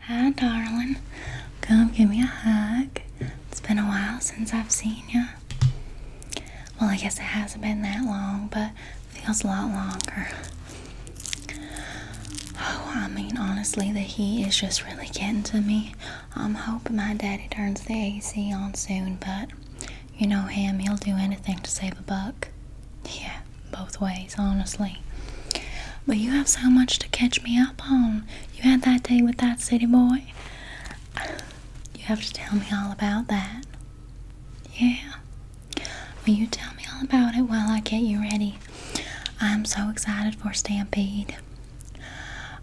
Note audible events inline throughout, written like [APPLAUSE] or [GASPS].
Hi, darling. Come give me a hug. It's been a while since I've seen you. Well, I guess it hasn't been that long, but it feels a lot longer. Oh, I mean, honestly, the heat is just really getting to me. I'm hoping my daddy turns the AC on soon, but you know him, he'll do anything to save a buck. Yeah both ways, honestly. But you have so much to catch me up on. You had that day with that city boy. [SIGHS] You have to tell me all about that. Yeah. Will you tell me all about it while I get you ready? I'm so excited for Stampede.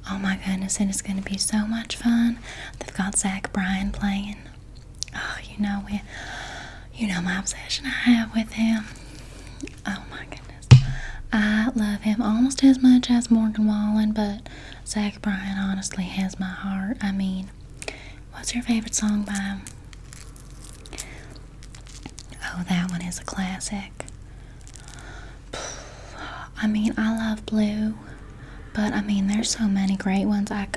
Oh my goodness, and it's going to be so much fun. They've got Zach Bryan playing. Oh, you know it you know my obsession I have with him. Oh my goodness. I love him almost as much as Morgan Wallen, but Zach Bryan honestly has my heart. I mean, what's your favorite song by him? Oh, that one is a classic. I mean, I love Blue, but I mean, there's so many great ones. I,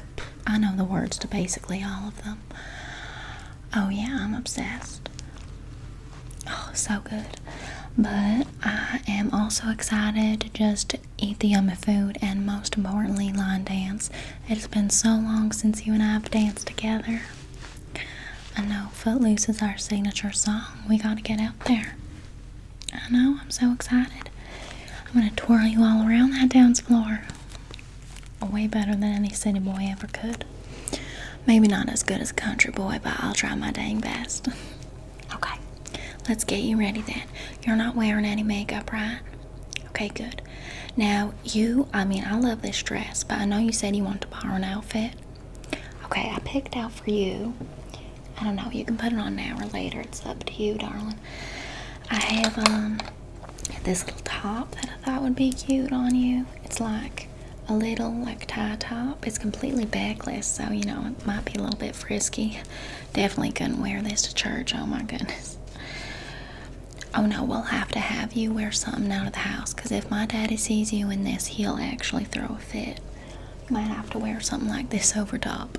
I know the words to basically all of them. Oh, yeah, I'm obsessed. Oh, so good. But I am also excited to just eat the yummy food and, most importantly, line dance. It's been so long since you and I have danced together. I know Footloose is our signature song. We gotta get out there. I know, I'm so excited. I'm gonna twirl you all around that dance floor way better than any city boy ever could. Maybe not as good as a country boy, but I'll try my dang best. [LAUGHS] okay, let's get you ready then. You're not wearing any makeup, right? Okay, good. Now, you, I mean, I love this dress, but I know you said you wanted to borrow an outfit. Okay, I picked out for you. I don't know, you can put it on now or later. It's up to you, darling. I have, um, this little top that I thought would be cute on you. It's like a little like tie top. It's completely backless, so you know it might be a little bit frisky. [LAUGHS] Definitely couldn't wear this to church. Oh my goodness. Oh no, we'll have to have you wear something out of the house because if my daddy sees you in this, he'll actually throw a fit. You might have to wear something like this over top.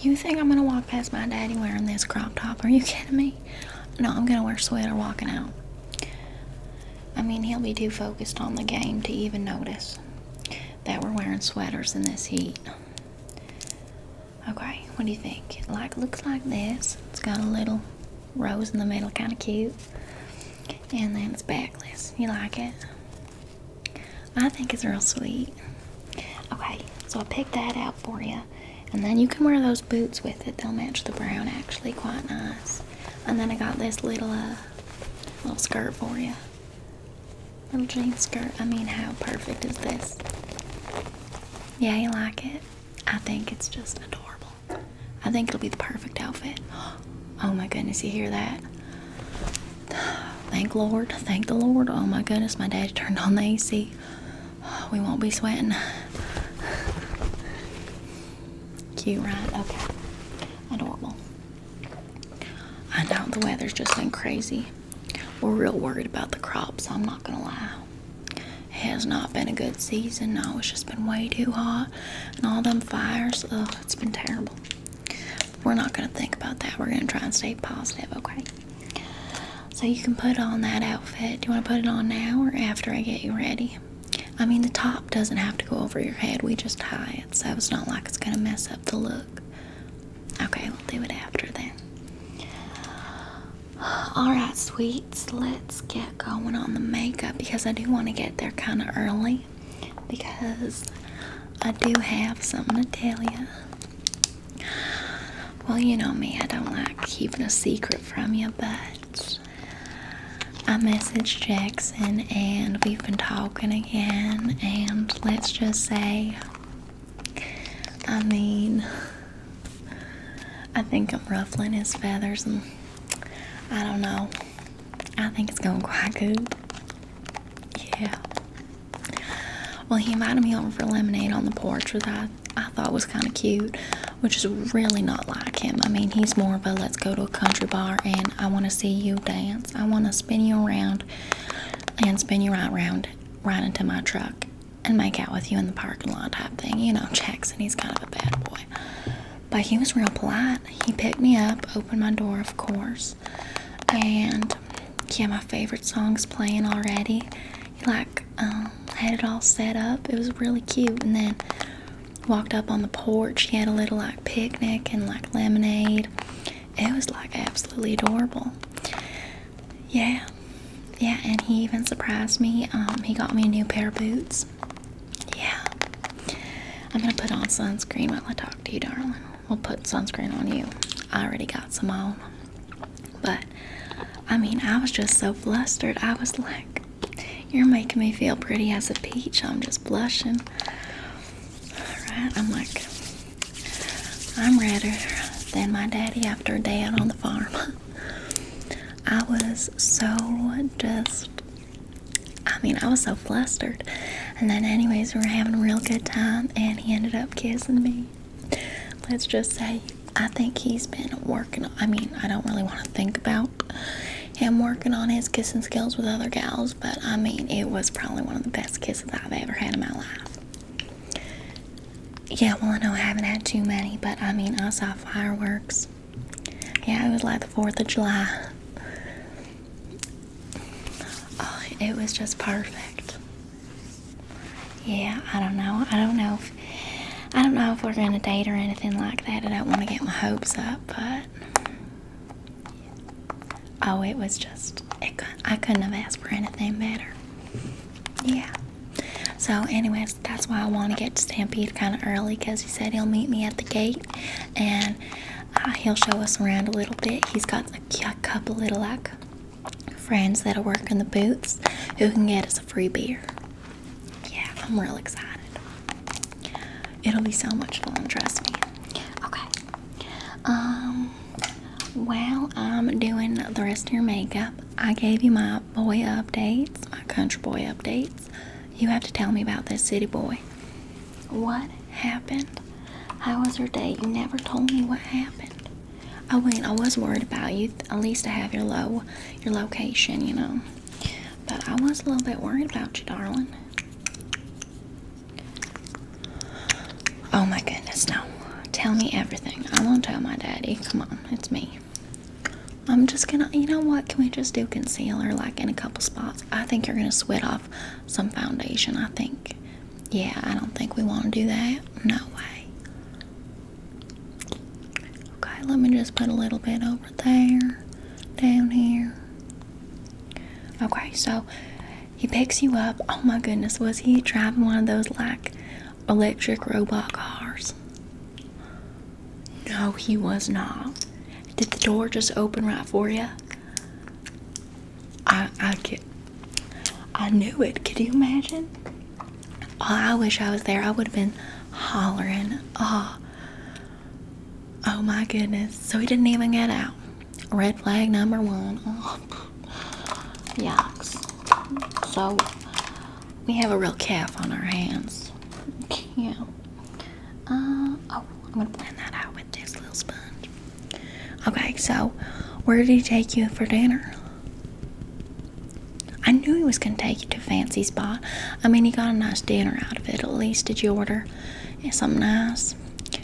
You think I'm gonna walk past my daddy wearing this crop top? Are you kidding me? No, I'm gonna wear sweater walking out. I mean, he'll be too focused on the game to even notice that we're wearing sweaters in this heat. Okay, what do you think? Like, looks like this. It's got a little rose in the middle, kind of cute. And then it's backless. You like it? I think it's real sweet. Okay, so I picked that out for you and then you can wear those boots with it they'll match the brown actually quite nice and then I got this little uh little skirt for you little jean skirt I mean how perfect is this yeah you like it I think it's just adorable I think it'll be the perfect outfit [GASPS] oh my goodness you hear that [SIGHS] thank Lord thank the Lord oh my goodness my dad turned on the AC we won't be sweating. Cute, right? Okay. Adorable. I know the weather's just been crazy. We're real worried about the crops, I'm not gonna lie. It has not been a good season. No, it's just been way too hot. And all them fires, ugh, it's been terrible. We're not gonna think about that. We're gonna try and stay positive, okay? So you can put on that outfit. Do you want to put it on now or after I get you ready? I mean, the top doesn't have to go over your head. We just tie it, so it's not like it's going to mess up the look. Okay, we'll do it after then. [SIGHS] Alright, sweets, let's get going on the makeup because I do want to get there kind of early because I do have something to tell you. Well, you know me, I don't like keeping a secret from you, but I messaged Jackson and we've been talking again, and let's just say, I mean, I think I'm ruffling his feathers, and I don't know. I think it's going quite good. Yeah. Well, he invited me over for lemonade on the porch, with I I thought was kind of cute, which is really not like him. I mean, he's more of a let's go to a country bar and I want to see you dance. I want to spin you around and spin you right around right into my truck and make out with you in the parking lot type thing. You know, Checks, and he's kind of a bad boy. But he was real polite. He picked me up, opened my door, of course. And yeah, my favorite song's playing already. He like um, had it all set up. It was really cute. And then walked up on the porch. He had a little like picnic and like lemonade. It was like absolutely adorable. Yeah. Yeah, and he even surprised me. Um, he got me a new pair of boots. Yeah. I'm gonna put on sunscreen while I talk to you, darling. We'll put sunscreen on you. I already got some on. But I mean, I was just so flustered. I was like, You're making me feel pretty as a peach. I'm just blushing. Alright, I'm like, I'm redder than my daddy after dad on the farm. [LAUGHS] I was so just, I mean, I was so flustered. And then, anyways, we were having a real good time, and he ended up kissing me let's just say I think he's been working. I mean, I don't really want to think about him working on his kissing skills with other gals, but I mean, it was probably one of the best kisses I've ever had in my life. Yeah, well, I know I haven't had too many, but I mean, I saw fireworks. Yeah, it was like the 4th of July. Oh, it was just perfect. Yeah, I don't know. I don't know if I don't know if we're gonna date or anything like that. I don't want to get my hopes up, but oh, it was just it, I couldn't have asked for anything better. Yeah. So, anyways, that's why I want to get to Stampede kind of early because he said he'll meet me at the gate and uh, he'll show us around a little bit. He's got a, couple little like friends that'll work in the booths who can get us a free beer. Yeah, I'm real excited. It'll be so much fun, trust me. Okay. Um while I'm doing the rest of your makeup, I gave you my boy updates, my country boy updates. You have to tell me about this city boy. What happened? I was your date? You never told me what happened. I oh, went. I was worried about you. At least I have your low, your location, you know. But I was a little bit worried about you, darling. Oh my goodness, no. Tell me everything. I won't tell my daddy. Come on, it's me. I'm just gonna, you know what? Can we just do concealer like in a couple spots? I think you're gonna sweat off some foundation. I think, yeah, I don't think we want to do that. No way. Okay, let me just put a little bit over there, down here. Okay, so he picks you up. Oh my goodness, was he driving one of those like electric robot cars? No, he was not. Did the door just open right for you? I I could, I knew it. Could you imagine? Oh, I wish I was there. I would have been hollering. Oh. Oh my goodness. So he didn't even get out. Red flag number one. Oh. Yikes. So we have a real calf on our hands. Yeah. Uh, oh, I'm going to blend that out with this little sponge. Okay, so where did he take you for dinner? I knew he was going to take you to a fancy spot. I mean, he got a nice dinner out of it, at least. Did you order something nice?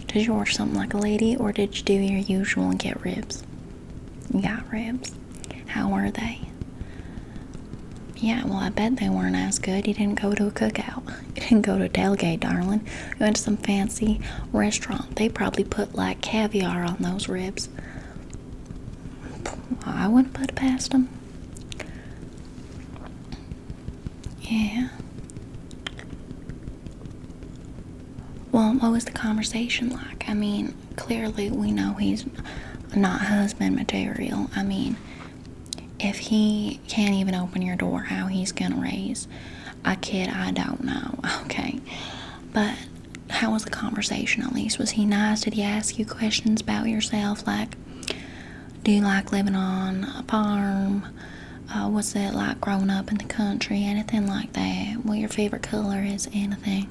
Did you order something like a lady, or did you do your usual and get ribs? You got ribs. How were they? Yeah, well, I bet they weren't as good. He didn't go to a cookout. He [LAUGHS] didn't go to a tailgate, darling. He went to some fancy restaurant. They probably put like caviar on those ribs. I wouldn't put it past him. Yeah. Well, what was the conversation like? I mean, clearly we know he's not husband material. I mean, if he can't even open your door, how he's gonna raise a kid, I don't know. [LAUGHS] Okay. But how was the conversation at least? Was he nice? Did he ask you questions about yourself? Like, do you like living on a farm? Uh, what's it like growing up in the country? Anything like that? What your favorite color is? Anything?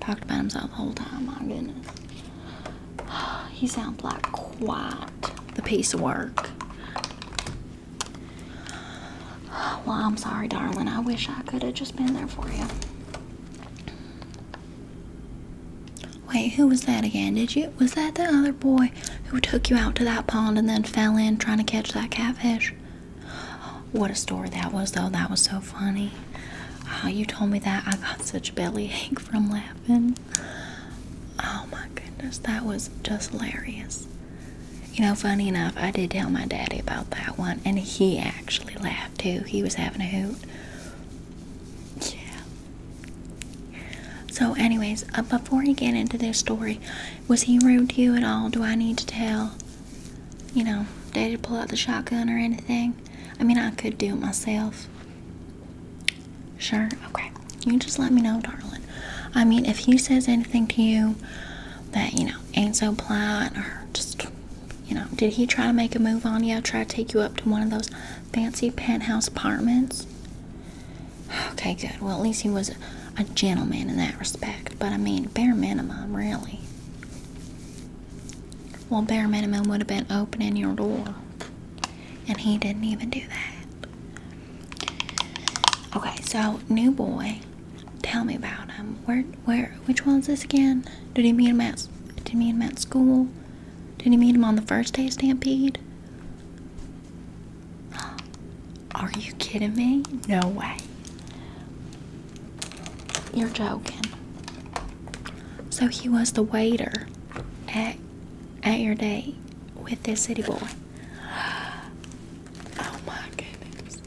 Talked about himself the whole time. My goodness. [SIGHS] He sounds like quite the piece of work. Well, I'm sorry, darling. I wish I could have just been there for you. Wait, who was that again? Did you? Was that the other boy who took you out to that pond and then fell in trying to catch that catfish? What a story that was, though. That was so funny. Ah, you told me that. I got such belly ache from laughing. Oh my goodness, that was just hilarious. You know, funny enough, I did tell my daddy about that one, and he actually laughed too. He was having a hoot. Yeah. So, anyways, uh, before you get into this story, was he rude to you at all? Do I need to tell? You know, did he pull out the shotgun or anything? I mean, I could do it myself. Sure, okay. You just let me know, darling. I mean, if he says anything to you, that, you know, ain't so polite or just, you know, did he try to make a move on you? Try to take you up to one of those fancy penthouse apartments? Okay, good. Well, at least he was a gentleman in that respect. But I mean, bare minimum, really. Well, bare minimum would have been opening your door. And he didn't even do that. Okay, so new boy Tell me about him. Where, where, which is this again? Did he meet him at, did he meet him at school? Did he meet him on the first day of Stampede? [GASPS] Are you kidding me? No way. You're joking. So he was the waiter at at your date with this city boy. [GASPS] Oh my goodness.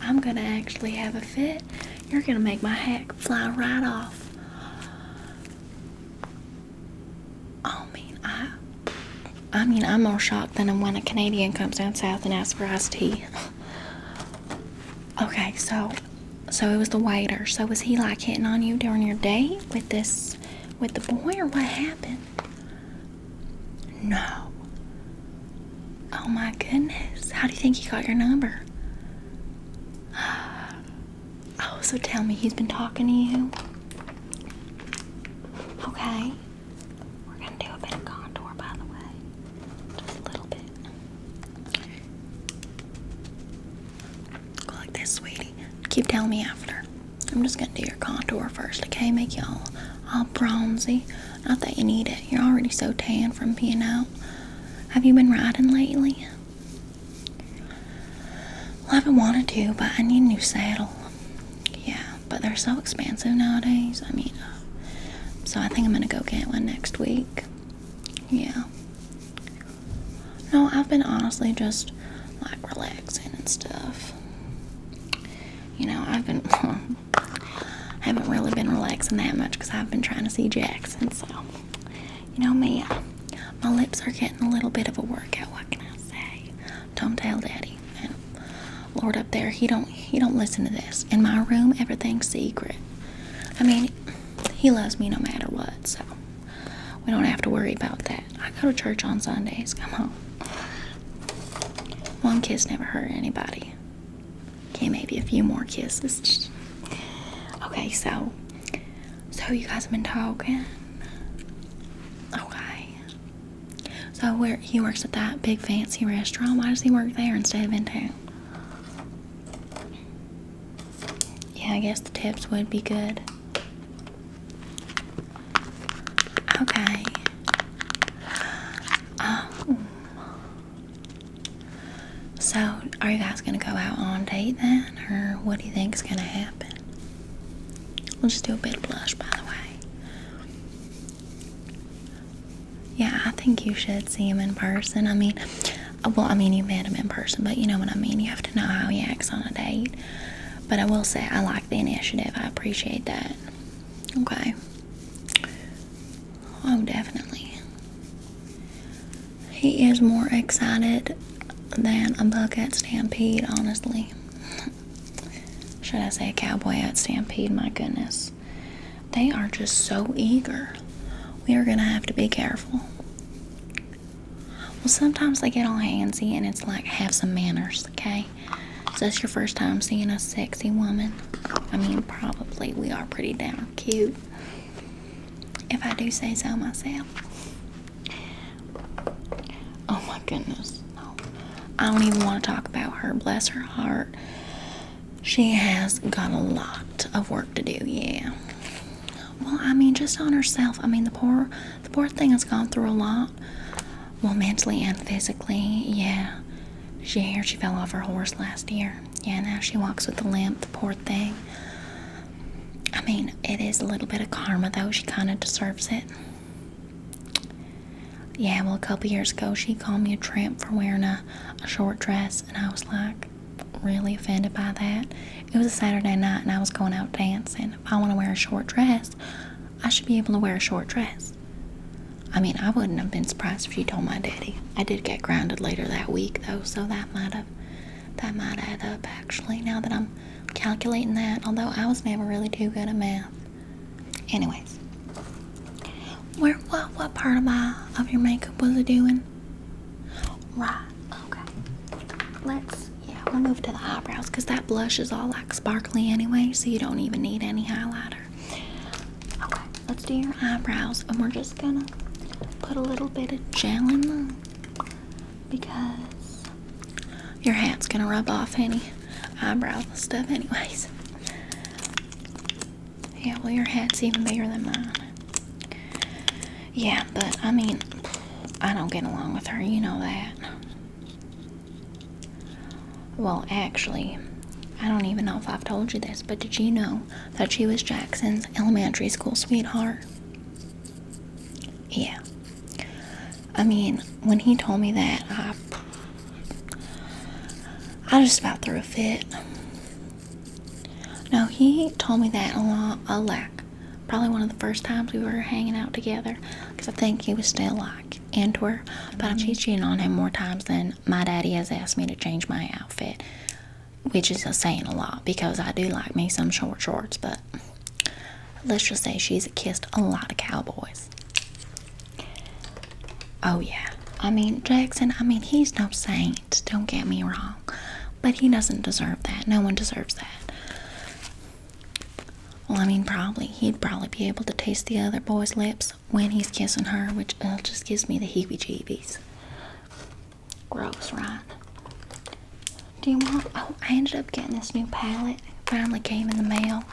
I'm gonna actually have a fit. You're gonna make my hat fly right off. I mean, I, I mean, I'm more shocked than when a Canadian comes down south and asks for iced tea. [LAUGHS] okay, so, so it was the waiter. So was he like hitting on you during your date with this, with the boy, or what happened? No. Oh my goodness. How do you think he got your number? [SIGHS] Oh, so tell me he's been talking to you. Okay. We're gonna do a bit of contour, by the way. Just a little bit. Go like this, sweetie. Keep telling me after. I'm just gonna do your contour first, okay? Make y'all all bronzy. Not that you need it. You're already so tan from being out. Have you been riding lately? I haven't wanted to, but I need a new saddle. Yeah, but they're so expensive nowadays. I mean, so I think I'm gonna go get one next week. Yeah. No, I've been honestly just like relaxing and stuff you know, I've been I [LAUGHS] haven't really been relaxing that much because I've been trying to see Jackson. So, you know me, uh, my lips are getting a little bit of a workout. What can I say? Don't tell Daddy. Lord up there, he don't he don't listen to this. In my room, everything's secret. I mean, he loves me no matter what. So we don't have to worry about that. I go to church on Sundays. Come on. One kiss never hurt anybody. Okay, maybe a few more kisses. Okay, so so you guys have been talking. Okay. So where he works at that big fancy restaurant. Why does he work there instead of in town? Yeah, I guess the tips would be good. Okay. Um, so, are you guys gonna go out on date then, or what do you think is gonna happen? We'll just do a bit of blush, by the way. Yeah, I think you should see him in person. I mean, uh, well, I mean, you met him in person, but you know what I mean. You have to know how he acts on a date. But I will say, I like the initiative. I appreciate that. Okay. Oh, definitely. He is more excited than a buck at Stampede, honestly. [LAUGHS] Should I say a cowboy at Stampede? My goodness. They are just so eager. We are going to have to be careful. Well, sometimes they get all handsy and it's like, have some manners, okay? Is that's your first time seeing a sexy woman. I mean, probably we are pretty damn cute. If I do say so myself. Oh my goodness. I don't even want to talk about her. Bless her heart. She has got a lot of work to do, yeah. Well, I mean, just on herself. I mean, the poor, the poor thing has gone through a lot. Well, mentally and physically, yeah. She heard she fell off her horse last year. Yeah, now she walks with a limp, poor thing. I mean, it is a little bit of karma, though. She kind of deserves it. Yeah, well, a couple years ago, she called me a tramp for wearing a, a short dress, and I was like, really offended by that. It was a Saturday night, and I was going out dancing. If I want to wear a short dress, I should be able to wear a short dress. I mean, I wouldn't have been surprised if you told my daddy. I did get grounded later that week, though, so that might have that might add up actually. Now that I'm calculating that, although I was never really too good at math. Anyways, where what what part of my of your makeup was it doing? Right. Okay. Let's yeah. We'll move to the eyebrows because that blush is all sparkly anyway, so you don't even need any highlighter. Okay, let's do your eyebrows, and we're just gonna put a little bit of gel in there because your hat's gonna rub off any eyebrow stuff, anyways. Yeah, well, your hat's even bigger than mine. Yeah, but I mean, I don't get along with her, you know that. Well, actually, I don't even know if I've told you this, but did you know that she was Jackson's elementary school sweetheart? Yeah. I mean, when he told me that, I. I just about threw a fit. No, he told me that a lot, a lot. Probably one of the first times we were hanging out together, because I think he was still like Antwerp, but I'm cheating on him more times than my daddy has asked me to change my outfit, which is a saying a lot because I do like me some short shorts, but let's just say she's kissed a lot of cowboys. Oh, yeah. I mean, Jackson, I mean, he's no saint, don't get me wrong, but he doesn't deserve that. No one deserves that. Well, I mean, probably. He'd probably be able to taste the other boy's lips when he's kissing her, which uh, just gives me the heebie jeebies. Gross, right? Do you want. Oh, I ended up getting this new palette. finally came in the mail.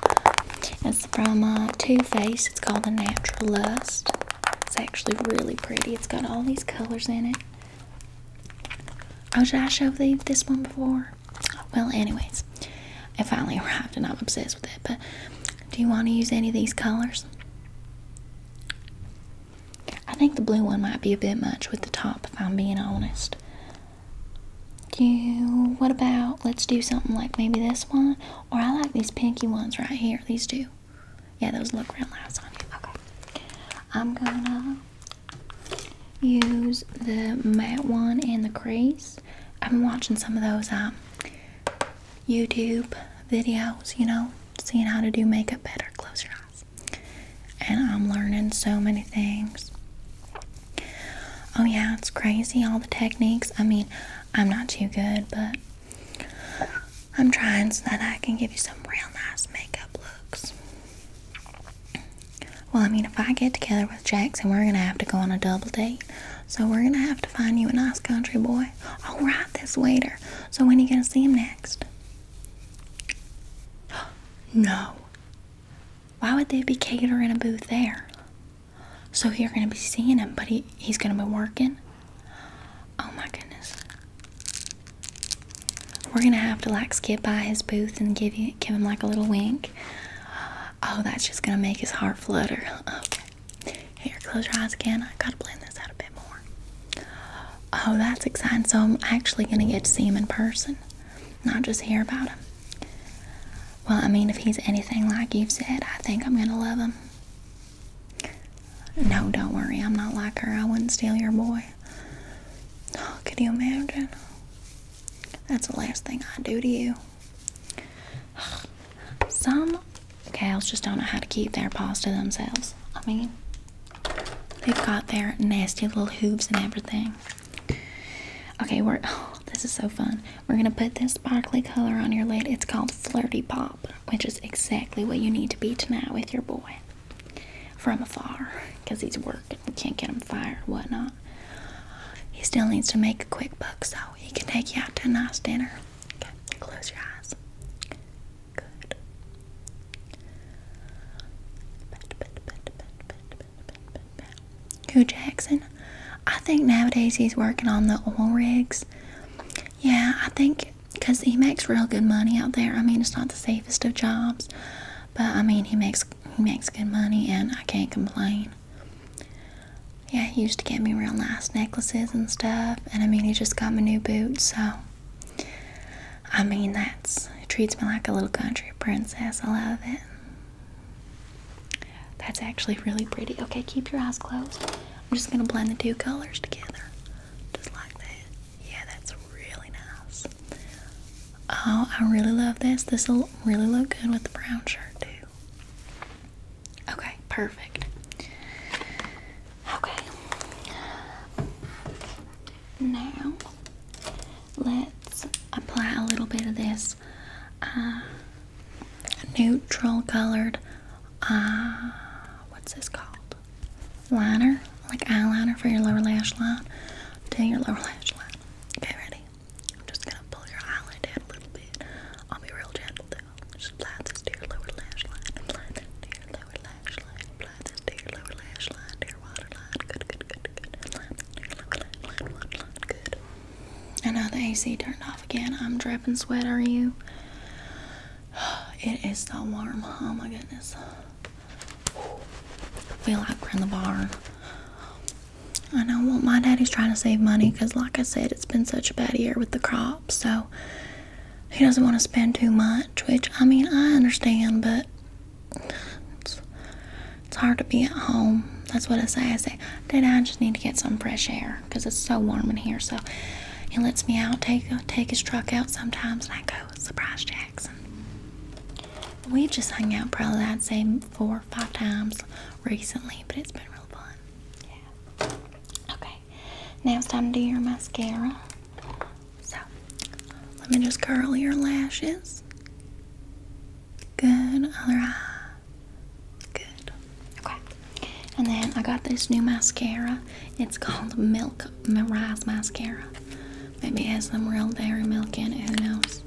It's from uh, Too Faced. It's called the Natural Lust. It's actually really pretty. It's got all these colors in it. Oh, did I show you this one before? Well, anyways, I finally [LAUGHS] arrived and I'm obsessed with it. But do you want to use any of these colors? I think the blue one might be a bit much with the top, if I'm being honest. you, what about, let's do something like maybe this one? Or I like these pinky ones right here, these two. Yeah, those look real nice on you. Okay. I'm gonna use the matte one and the crease. I've been watching some of those um, YouTube videos, you know, seeing how to do makeup better. Close your eyes. And I'm learning so many things. Oh, yeah, it's crazy, all the techniques. I mean, I'm not too good, but I'm trying so that I can give you some real nice makeup looks. Well, I mean, if I get together with Jackson, we're gonna have to go on a double date. So we're gonna have to find you a nice country boy. All right, this waiter. So when are you gonna see him next? [GASPS] no. Why would they be catering a booth there? So you're gonna be seeing him, but he, he's gonna be working. Oh my goodness. We're gonna have to like skip by his booth and give you give him like a little wink. Oh, that's just gonna make his heart flutter. Okay. Here, close your eyes again. I gotta blend this out a bit more. Oh, that's exciting. So I'm actually gonna get to see him in person, not just hear about him. Well, I mean, if he's anything like you've said, I think I'm gonna love him. No, don't worry, I'm not like her. I wouldn't steal your boy. Oh, could you imagine? That's the last thing I do to you. Some cows just don't know how to keep their paws to themselves. I mean, they've got their nasty little hooves and everything. Okay, we're. Oh, this is so fun. We're gonna put this sparkly color on your lid. It's called Flirty Pop, which is exactly what you need to be tonight with your boy from afar, because he's working we can't get him fired whatnot. He still needs to make a quick buck so he can take you out to a nice dinner. close your eyes. Good. Hugh Jackson, I think nowadays he's working on the oil rigs. Yeah, I think because he makes real good money out there. I mean, it's not the safest of jobs, but I mean, he makes he makes good money, and I can't complain. Yeah, he used to get me real nice necklaces and stuff, and I mean, he just got me new boots, so I mean, that's it treats me like a little country princess. I love it. That's actually really pretty. Okay, keep your eyes closed. I'm just gonna blend the two colors together, just like that. Yeah, that's really nice. Oh, I really love this. This will really look good with the brown shirt, too. Okay, perfect. Okay. Now, let's apply a little bit of this uh, neutral colored, uh, what's this called? Liner, like eyeliner for your lower lash line. To your lower lash line. Okay, ready? I'm just gonna pull your eyelid in a little bit. I'll be real gentle though. Just apply this to your lower lash line. Apply this to your lower lash line. Apply this to your lower lash line. To your waterline. Good, good, good, good. Apply this to your lower lash line. Waterline. Good. I know the AC turned off again. I'm dripping sweat. Are you? [SIGHS] It is so warm. Oh my goodness. I feel like we're in the barn. I know well my daddy's trying to save money because like I said it's been such a bad year with the crops so he doesn't want to spend too much which I mean I understand but it's, it's hard to be at home that's what I say I say Daddy I just need to get some fresh air because it's so warm in here so he lets me out take take his truck out sometimes and I go surprise Jackson we have just hung out probably I'd say four or five times recently, but it's been real fun. Okay. Now it's time to do your mascara. So let me just curl your lashes. Good. Other eye. Good. Okay. And then I got this new mascara. It's called Milk Rise Mascara. Maybe it has some real dairy milk in it. Who knows?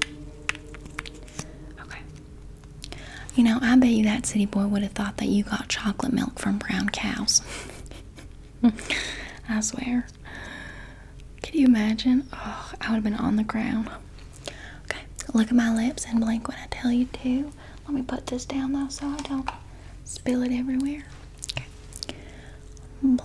Okay. You know, I bet you that city boy would have thought that you got chocolate milk from brown cows. [LAUGHS] I swear. Could you imagine? Oh, I would have been on the ground. Okay, look at my lips and blink when I tell you to. Let me put this down though so I don't spill it everywhere. Okay. Blink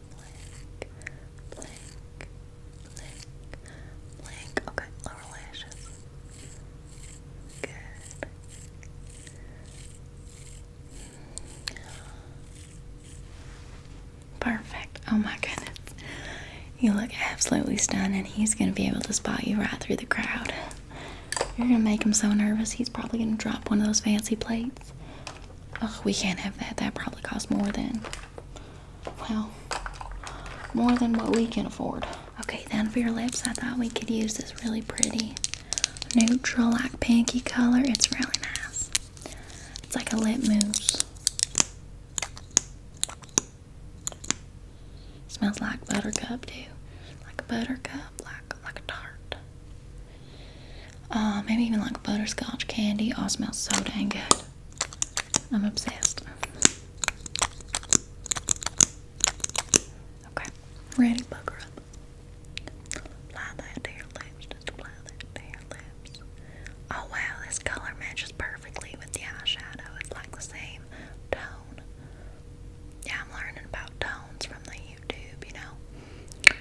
blink, blink, blink, blink. Okay, lower lashes. Good. Perfect. Oh my goodness. You look absolutely stunning. he's gonna be able to spot you right through the crowd. You're gonna make him so nervous he's probably gonna drop one of those fancy plates. Oh, we can't have that. That probably costs more than well, more than what we can afford. Okay, then for your lips, I thought we could use this really pretty neutral, like pinky color. It's really nice. It's like a lip mousse. Smells like buttercup too, like a buttercup, like like a tart. Uh, maybe even like butterscotch candy. All oh, smells so dang good. I'm obsessed. Okay, ready, pucker up. Oh wow, this color matches perfectly with the eyeshadow. It's like the same tone. Yeah, I'm learning about tones from the YouTube, you know.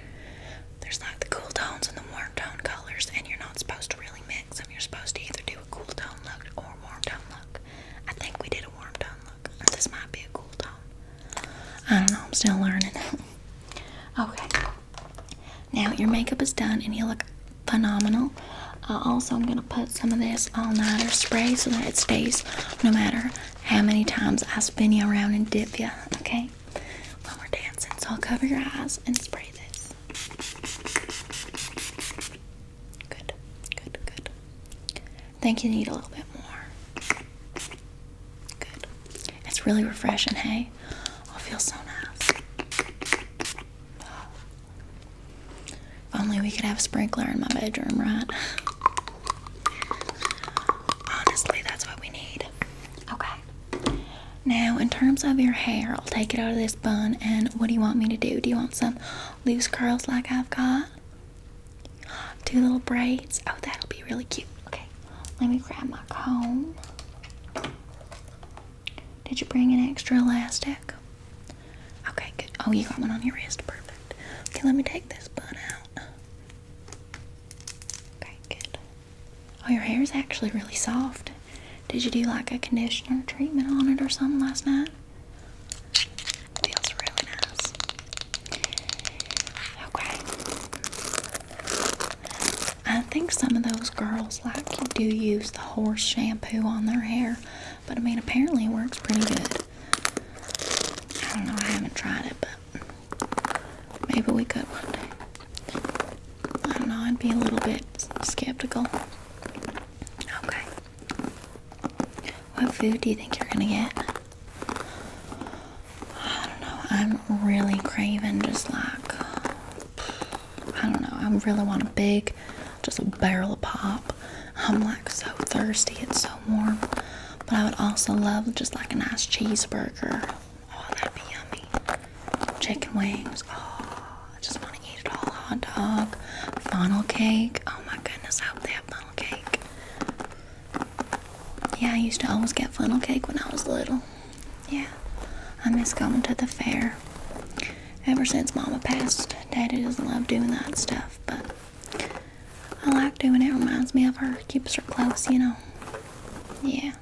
There's like the cool tones and the warm tone colors, and you're not supposed to really mix them. You're supposed to either do a cool tone look or a warm tone look. I think we did a warm tone look, this might be a cool tone. I don't know, I'm still learning. [LAUGHS] okay, now your makeup is done, and you look phenomenal. Uh, also, I'm gonna put some of this all nighter spray so that it stays no matter how many times I spin you around and dip you. Okay, when we're dancing, so I'll cover your eyes and spray this. Good, good, good. Think you need a little bit more. Good. It's really refreshing, hey? I'll feel so nice. If only we could have a sprinkler in my bedroom, right? Honestly, that's what we need. Okay. Now, in terms of your hair, I'll take it out of this bun. And what do you want me to do? Do you want some loose curls like I've got? Two little braids. Oh, that'll be really cute. Okay. Let me grab my comb. Did you bring an extra elastic? Okay, good. Oh, you got one on your wrist. Perfect. Okay, let me take this bun out. Oh, your hair is actually really soft. Did you do like a conditioner treatment on it or something last night? Feels really nice. Okay. I think some of those girls like do use the horse shampoo on their hair, but I mean apparently it works pretty good. I don't know, I haven't tried it, but maybe we could one day. I don't know, I'd be a little bit skeptical. Okay. What food do you think you're gonna get? I don't know. I'm really craving just like I don't know. I really want a big, just a barrel of pop. I'm like so thirsty. It's so warm. But I would also love just like a nice cheeseburger. Oh, that'd be yummy. Chicken wings. Oh, I just want to eat it all. Hot dog. Funnel cake. Oh my goodness, I hope they have funnel cake. Yeah, I used to always get funnel cake when I was little. Yeah, I miss going to the fair. Ever since Mama passed, Daddy doesn't love doing that stuff, but I like doing It reminds me of her, keeps her close, you know. Yeah.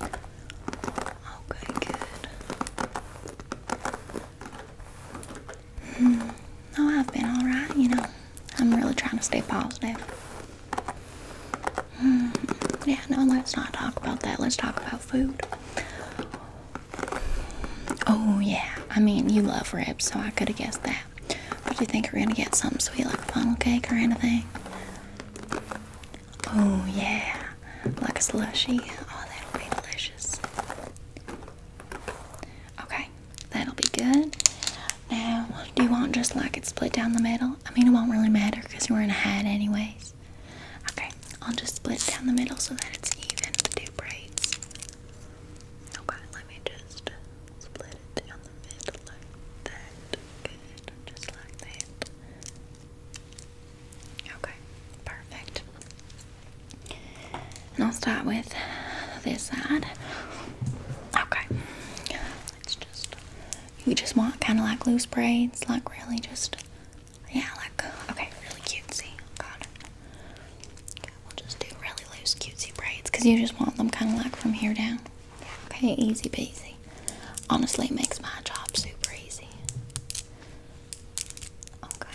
Okay, good. Mm, no, I've been alright, you know. I'm really trying to stay positive. Mm, yeah, no, let's not talk about that. Let's talk about food. Oh, yeah. I mean, you love ribs, so I could have guessed that. But do you think we're gonna get something sweet like funnel cake or anything? Oh yeah, like a slushy. Oh, that'll be delicious. Okay, that'll be good. Now, do you want just like it split down the middle? I mean, it won't really matter because you're in a hat anyways. Okay, I'll just split down the middle so that it's even, the two braids. Okay, let me just split it down the middle Good, just like that. Okay, perfect. And I'll start with this side. Okay, let's just. You just want kind of like loose braids, like really just. Yeah, like okay, really cutesy. Okay, we'll just do really loose cutesy braids because you just want them kind of like from here down. Okay, easy peasy. Honestly, it makes my job super easy. Okay.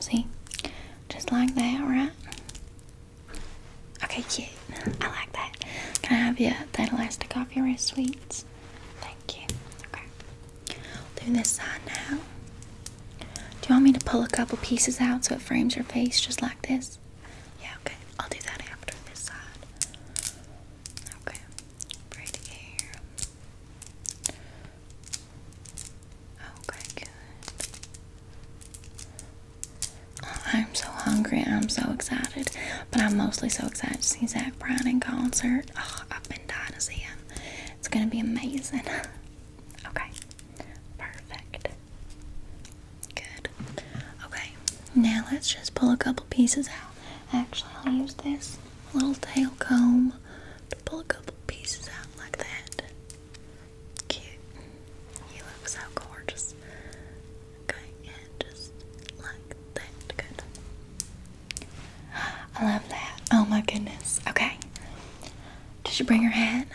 See? Just like that, right? Okay, cute. I like that. Can I have your that elastic off your wrist, sweets? Thank you. Okay. I'll do this side now. Do you want me to pull a couple pieces out so it frames your face just like this? Yeah, okay. I'll do that after this side. Okay. Braid here. Okay, I'm so hungry. I'm so excited. But I'm mostly so excited to see Zach Brown in concert. I've been dying to see him. It's going to be amazing. [LAUGHS] okay. Perfect. Good. Okay, now let's just pull a couple pieces out. Actually, I'll use this little tail comb to pull a couple pieces out like that. Cute. You look so gorgeous. Okay, and just like that. Good. I love that. Oh my goodness. Okay. Did you bring your hat?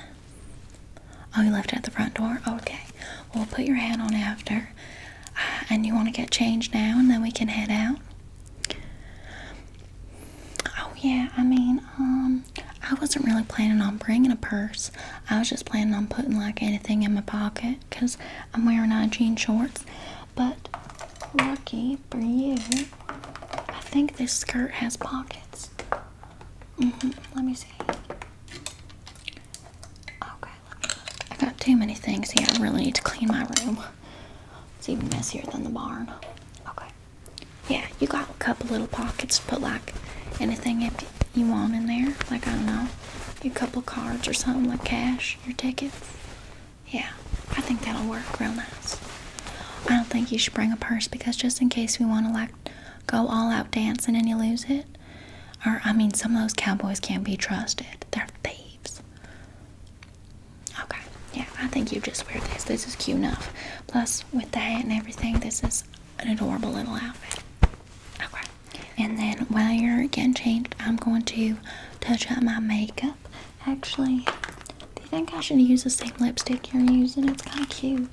Oh, you left it at the front door? Okay. Well, put your hat on after. Uh, and you want to get changed now and then we can head out? Oh, yeah. I mean, um, I wasn't really planning on bringing a purse. I was just planning on putting like anything in my pocket because I'm wearing jean shorts. But lucky for you, I think this skirt has pockets. Mm-hmm. Let me see. Okay, I got too many things here. I really need to clean my room. It's even messier than the barn. Okay. Yeah, you got a couple little pockets to put like anything if you want in there. Like, I don't know, a couple cards or something, like cash, your tickets. Yeah, I think that'll work real nice. I don't think you should bring a purse because just in case we want to like go all out dancing and you lose it. Or I mean some of those cowboys can't be trusted. They're thieves. Okay. Yeah, I think you just wear this. This is cute enough. Plus with the hat and everything, this is an adorable little outfit. Okay. And then while you're getting changed, I'm going to touch up my makeup. Actually, do you think I should use the same lipstick you're using? It's kind of cute.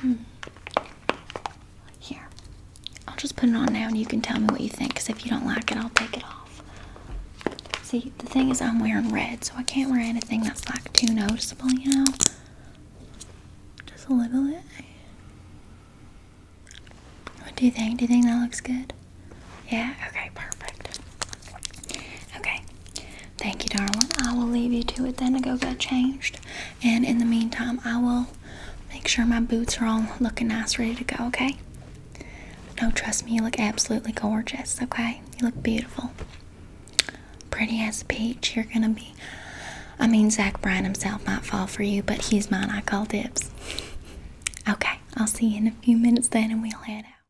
Hmm. Here. I'll just put it on now and you can tell me what you think because if you don't like it, I'll take it off. See, the thing is, I'm wearing red, so I can't wear anything that's like too noticeable, you know? Just a little bit. What do you think? Do you think that looks good? Yeah? Okay, perfect. Okay. Thank you, darling. I will leave you to it then to go get changed. And in the meantime, I will make sure my boots are all looking nice, ready to go, okay? No, trust me, you look absolutely gorgeous, okay? You look beautiful. Pretty as a peach. You're gonna be. I mean, Zach Bryan himself might fall for you, but he's mine. I call dibs. [LAUGHS] Okay, I'll see you in a few minutes then and we'll head out.